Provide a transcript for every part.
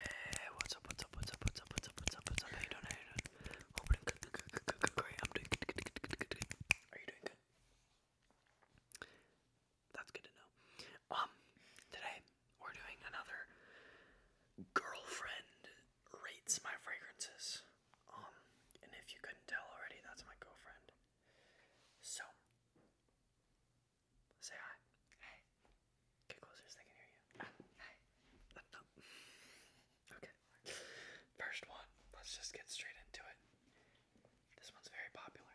Hey, what's up, what's up, what's up, what's up, what's up, what's up, what's up, how you doing, how you doing? Oh, I'm doing good, good, good, good, good, great, I'm doing good, good, good, good, good, good, Are you doing good? That's good to know. Um, today, we're doing another girlfriend rates my fragrances. Um, and if you couldn't tell already, that's my girlfriend. So, Say hi. Hey. Get closer so they can hear you. hey. Oh, okay. First one. Let's just get straight into it. This one's very popular.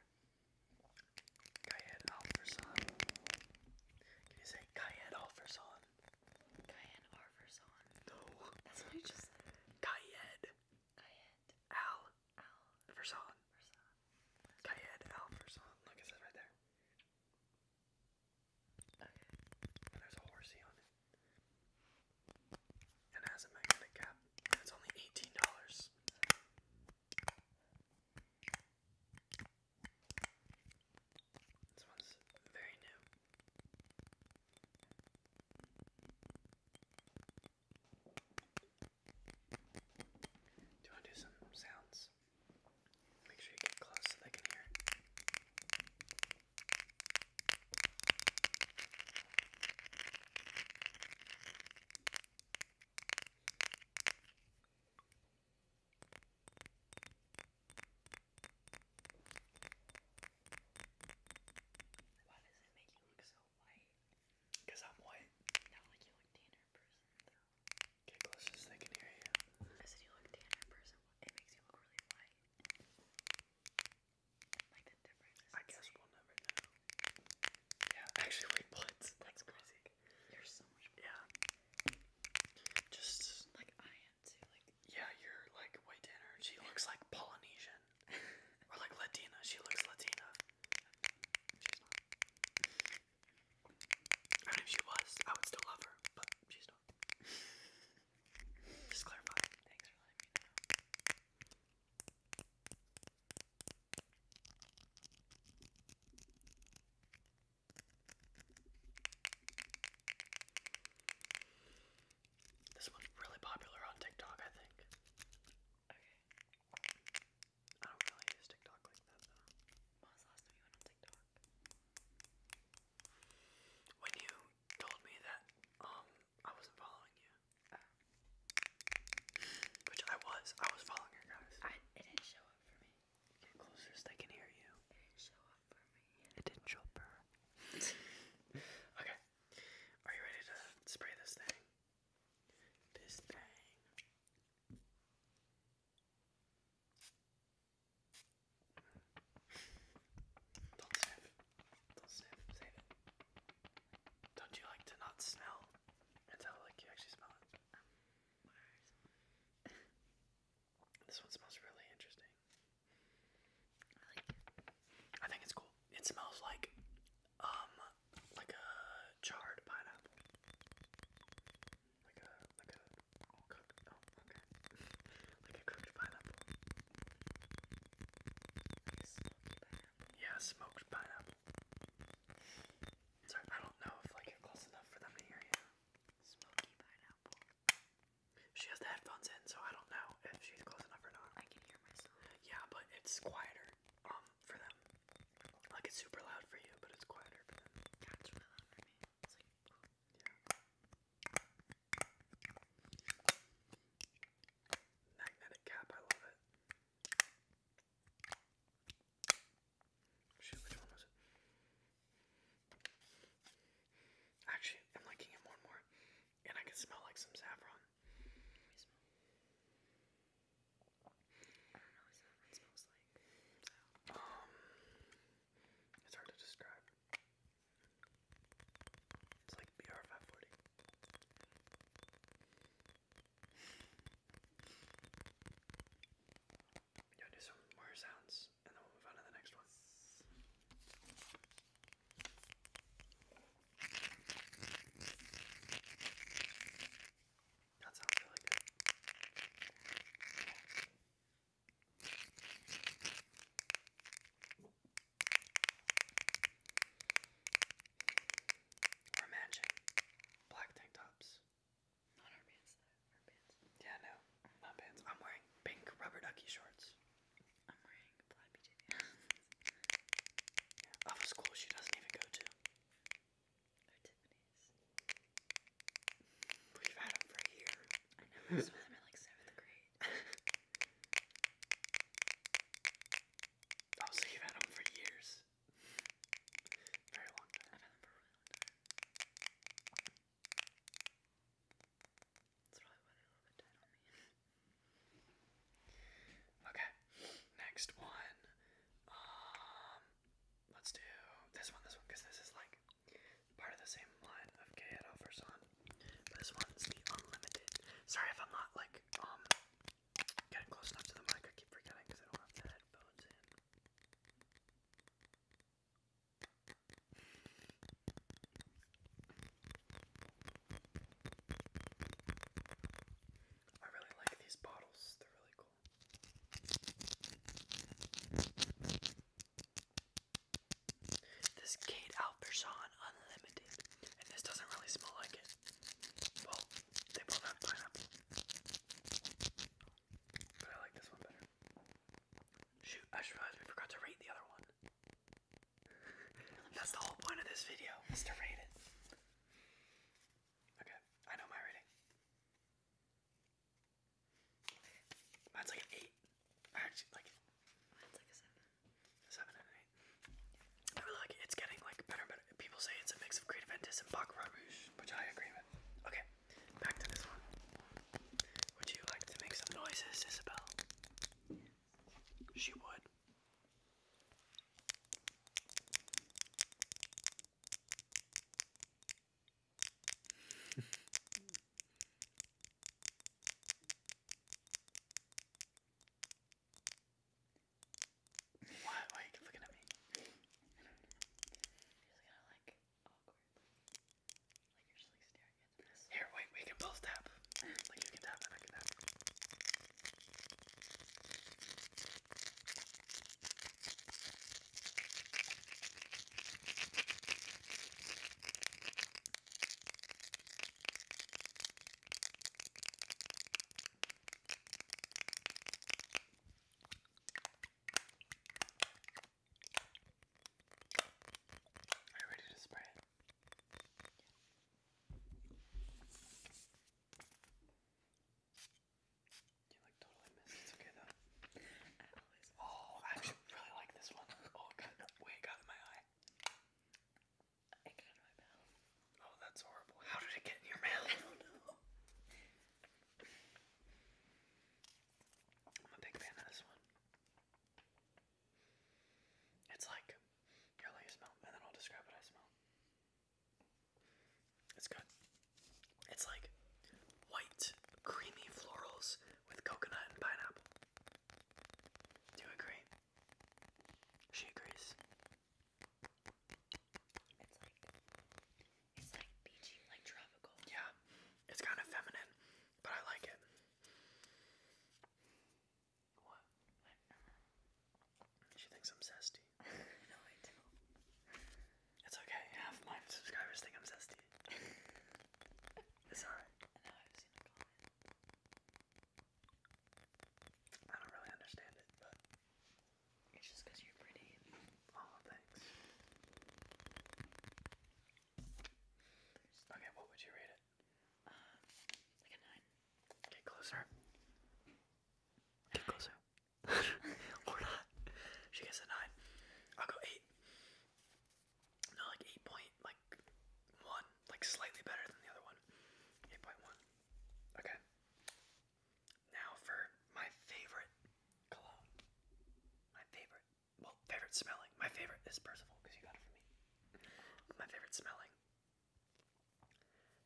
Kayed Alverson. Can you say Kayed Alverson? Kayed Alverson. No. That's what you just said. Kayed. Al. Al. Verson. Verson. Kayed Alverson. Look, it says right there. Okay. And there's a horsey on it. And it has a magnetic cap. And it's only $18. This one's very new. Do you want to do some sounds? Make sure you get close so they can hear Why does it make you look so white? Cause I'm white. No, like you look tanner person Get close you. look tan in person, it makes you look really white. Like the difference. I guess we'll never know. Yeah, actually, wait, what? That's crazy. you so much. Yeah. Just like I am too. Like. Yeah, you're like way tanner. She looks like Polynesian. or like Latina. She looks Latina. And if she was, I would still love her, but she's not. Just clarify. Thanks for letting This one's really popular on TikTok, I think. Okay. I don't really use TikTok like that though. When last time you went on TikTok? When you told me that um I wasn't following you, oh. which I was, I was following her guys. it didn't show up for me. Get closer so can hear you. It didn't show up for me. It didn't show up okay, are you ready to spray this thing? This thing. Don't sniff. Don't sniff. Save it. Don't you like to not smell until like you actually smell it? this one smells really interesting. it. I think it's cool. It smells like um like a charred pineapple like a like a all cooked. Oh, okay. like a cooked pineapple. Like smoked pineapple. Sorry, I don't know if like you're close enough for them to hear you. Smoky pineapple. She has the headphones in, so I don't know if she's close enough or not. Yeah, but it's quieter, um, for them. Like it's super loud for you, but it's quieter for them. That's really for me. Magnetic cap, I love it. Shoot, which one was it? Actually, I'm liking it more and more, and I can smell like some saffron. It's hard to describe. It's like BR540. We're gonna do some more sounds and then we'll move on to the next one. That sounds really good. Or black tank tops. Not our pants, Our pants. Yeah, no, not pants. I'm wearing pink rubber ducky shorts. I'm wearing black PJ of a school she doesn't even go to. Or oh, Tiffany. We've had them for a I know, I saw them in like seventh grade. oh, so you've had them for years. Very long time. I've had them for really long That's probably why they're a little okay, next one. Um, let's do this one, this one, because this is like part of the same line of K it offers this one's the unlimited. Sorry if I'm not like um getting close enough to the mic. I keep forgetting because I don't have the headphones in. I really like these bottles. They're really cool circle. This Kate Alperson Unlimited, and this doesn't really smell like it. Well, they both have pineapple, but I like this one better. Shoot, I realized we forgot to rate the other one. That's the whole point of this video, is to rate it. Okay, I know my rating. That's like an eight. Actually, like seven. and eight. I It's getting like better and People say it's a mix of Creative Ventus and Baccarat which I agree with. Okay, back to this one. Would you like to make some noises, Isabel? She would why, why are you looking at me? You're just gonna like awkwardly. Like you're just like staring at this. Here, wait, we can both tap. Like you can tap and I can tap. Are you ready to spray it? Yeah. You like totally missed. It's okay though. oh, I really like this one. Oh, it got got in my eye. It got in my mouth. Oh, that's horrible. How did it get in your mouth? I don't know. I'm a big fan of this one. It's like, here, I'll you smell, and then I'll describe what I smell. It's good. It's like white, creamy florals with coconut and pineapple. Do you agree? She agrees. It's like it's like beachy, like tropical. Yeah, it's kind of feminine, but I like it. What? She thinks I'm zesty. no, I don't. It's okay, half my subscribers think I'm zesty. it's alright. i don't really understand it, but. It's just because you're pretty. Oh, thanks. okay, what would you rate it? Uh, like a 9. Get closer. Get closer. or not. She gets a 9. I'll go 8. No, like eight point like one, like slightly better than the other one. Eight point one. Okay. Now for my favorite cologne. My favorite, well, favorite smelling. My favorite is Percival because you got it for me. My favorite smelling.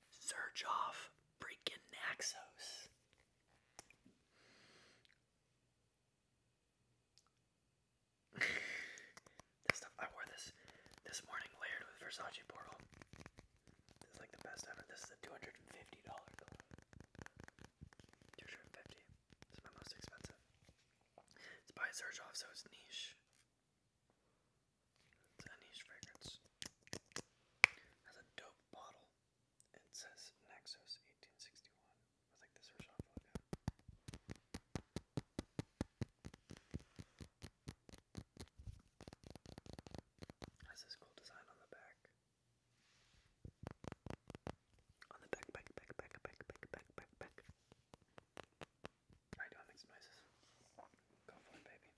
Search off freaking Naxos this I wore this this morning layered with Versace Portal. This is like the best ever. This is a two hundred and fifty dollar glove. Two hundred and fifty. This my most expensive. It's by Zerjoff, so niche. It's a niche fragrance. Has a dope bottle. It says Naxos 1861 with like this Herzog Has this cool design on the back. On the back, back, back, back, back, back, back, back, I don't make some noises. Go for it, baby.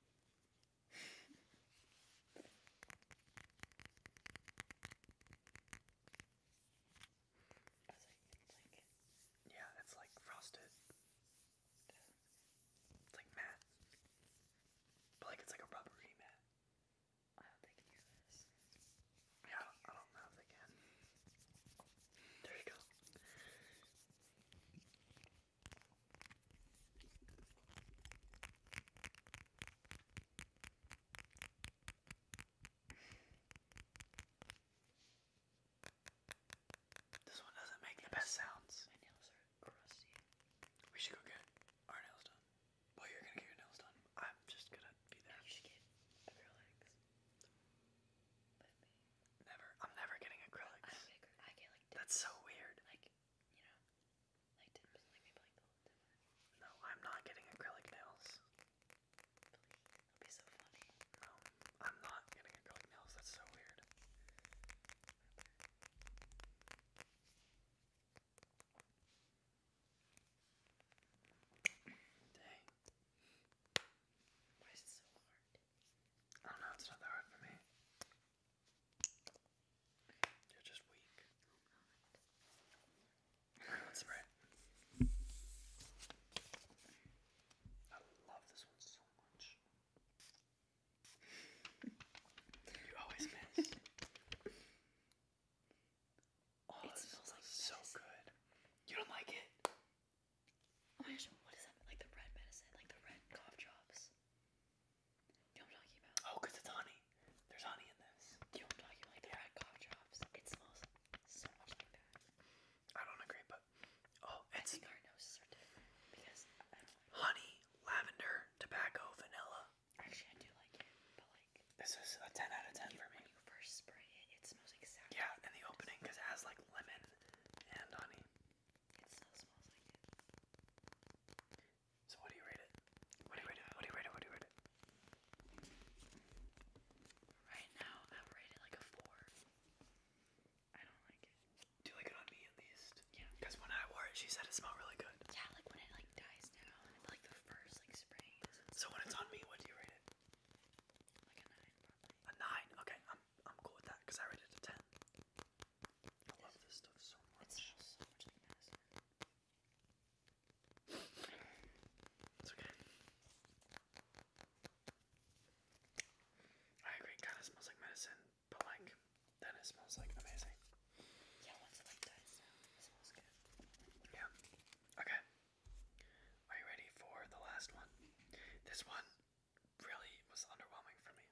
Yeah, it's like frosted. It's like matte. But like it's like a rubbery matte. I hope they can hear this. Yeah, I don't know if they can. There you go. This one doesn't make the best sounds. We should go get our nails done. Well, you're gonna get your nails done. I'm just gonna be there. Never. I'm never getting acrylics. That's so weird. Like, you know, like no, I'm not getting acrylic nails. that'd be so funny. No, um, I'm not getting acrylic nails. That's so weird. Why is it so hard? I don't know, it's not that hard for me. You're just weak. Oh, Let's spread. I love this one so much. you always miss. oh, it smells like so good. You don't like it? Oh my gosh, what is that? Like the red medicine, like the red cough drops. You know I'm talking about? Oh, it's honey. There's honey in this. Do you know what I'm talking like cough drops? It smells so much like that. I don't agree, but oh, it's our noses are different because honey, lavender, tobacco, vanilla. Actually, I do like it, but like this is a ten out of ten for me. When you first spray it, it smells exactly. Yeah, in the opening, because it has like lemon and honey. It still smells like it. So what do you rate it? What do you rate it? What do you rate it? What do you rate it? Right now, I would like a four. I don't like it. Do you like it on me at least? Yeah. Because when I wore it, she said it smelled really good. Yeah, like when it like dies down, like the first like sprays. So when it's on me, what do you rate it? Like a nine, A nine? Okay, I'm I'm cool with that because I rated a ten. I love this stuff so much. It smells so much like it's okay. I agree, it smells like medicine, but like then smells like amazing. Yeah, once like dies down, smells good. Yeah. Okay. Are you ready for the last one? This one really was underwhelming for me.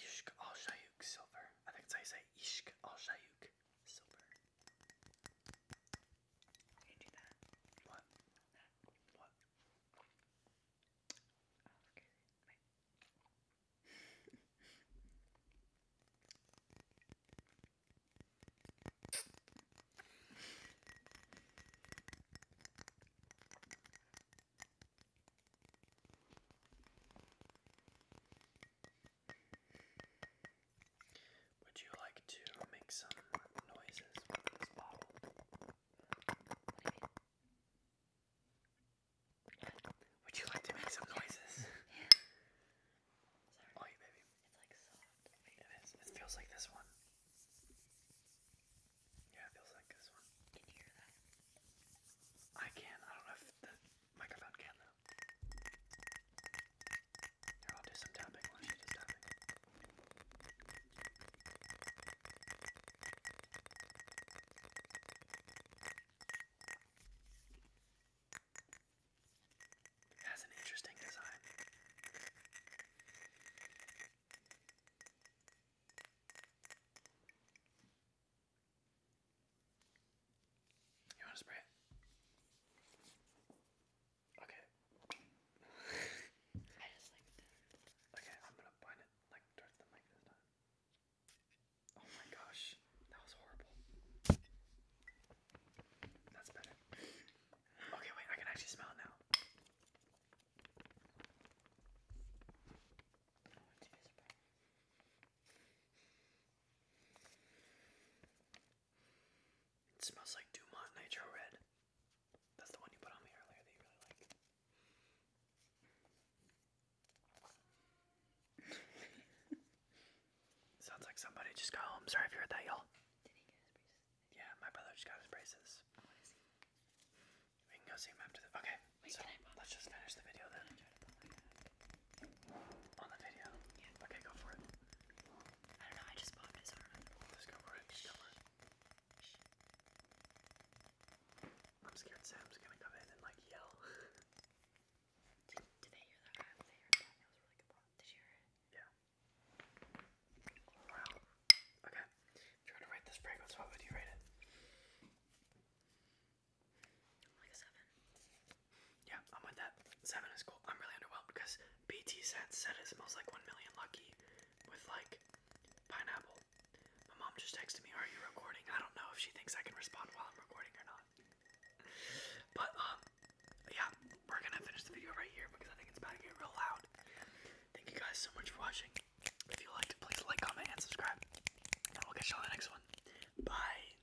Ishk al Shayuk silver. I think it's you say Ishk al Shayuk silver. I'm gonna do that. What? That. What? Oh, okay. Wait. Would you like to make some noises with this bottle? Would you like to make some noises? Oh, yeah, baby. It's like soft. It is. It feels like this one. Yeah, it feels like this one. Can you hear that? I can. I don't know if microphone can though. Here, I'll do some tapping while she does tapping. It has an interesting design. You want to spray it? Okay. I just like that. Okay, I'm gonna bind it like towards the mic this time. Oh my gosh, that was horrible. That's better. Okay, wait, I can actually smell it now. It smells like Dumont Nitro Red. That's the one you put on me earlier that you really like. Sounds like somebody just got home. Sorry if you heard that, y'all. Yeah, my brother just got his braces. We can go see him after Okay. let's just finish the video then. On the video? Yeah. Okay, go for it. I don't know, I just popped it, Let's go for it, I'm scared Sam's gonna come in and like yell. did, they hear that? I they heard that. It was really good Did you hear it? Yeah. Wow. Okay. If to rate this fragrance, what would you rate it? seven. Yeah, I'm with that. Seven is cool. I'm really underwhelmed because BT said said it smells like one million lucky with like pineapple. My mom just texted me, Are you recording? I don't know if she thinks I can respond while I'm recording or not. but um yeah, we're gonna finish the video right here because I think it's about to get real loud. Thank you guys so much for watching. If you liked it, please like, comment, and subscribe. And we'll catch you on the next one. Bye.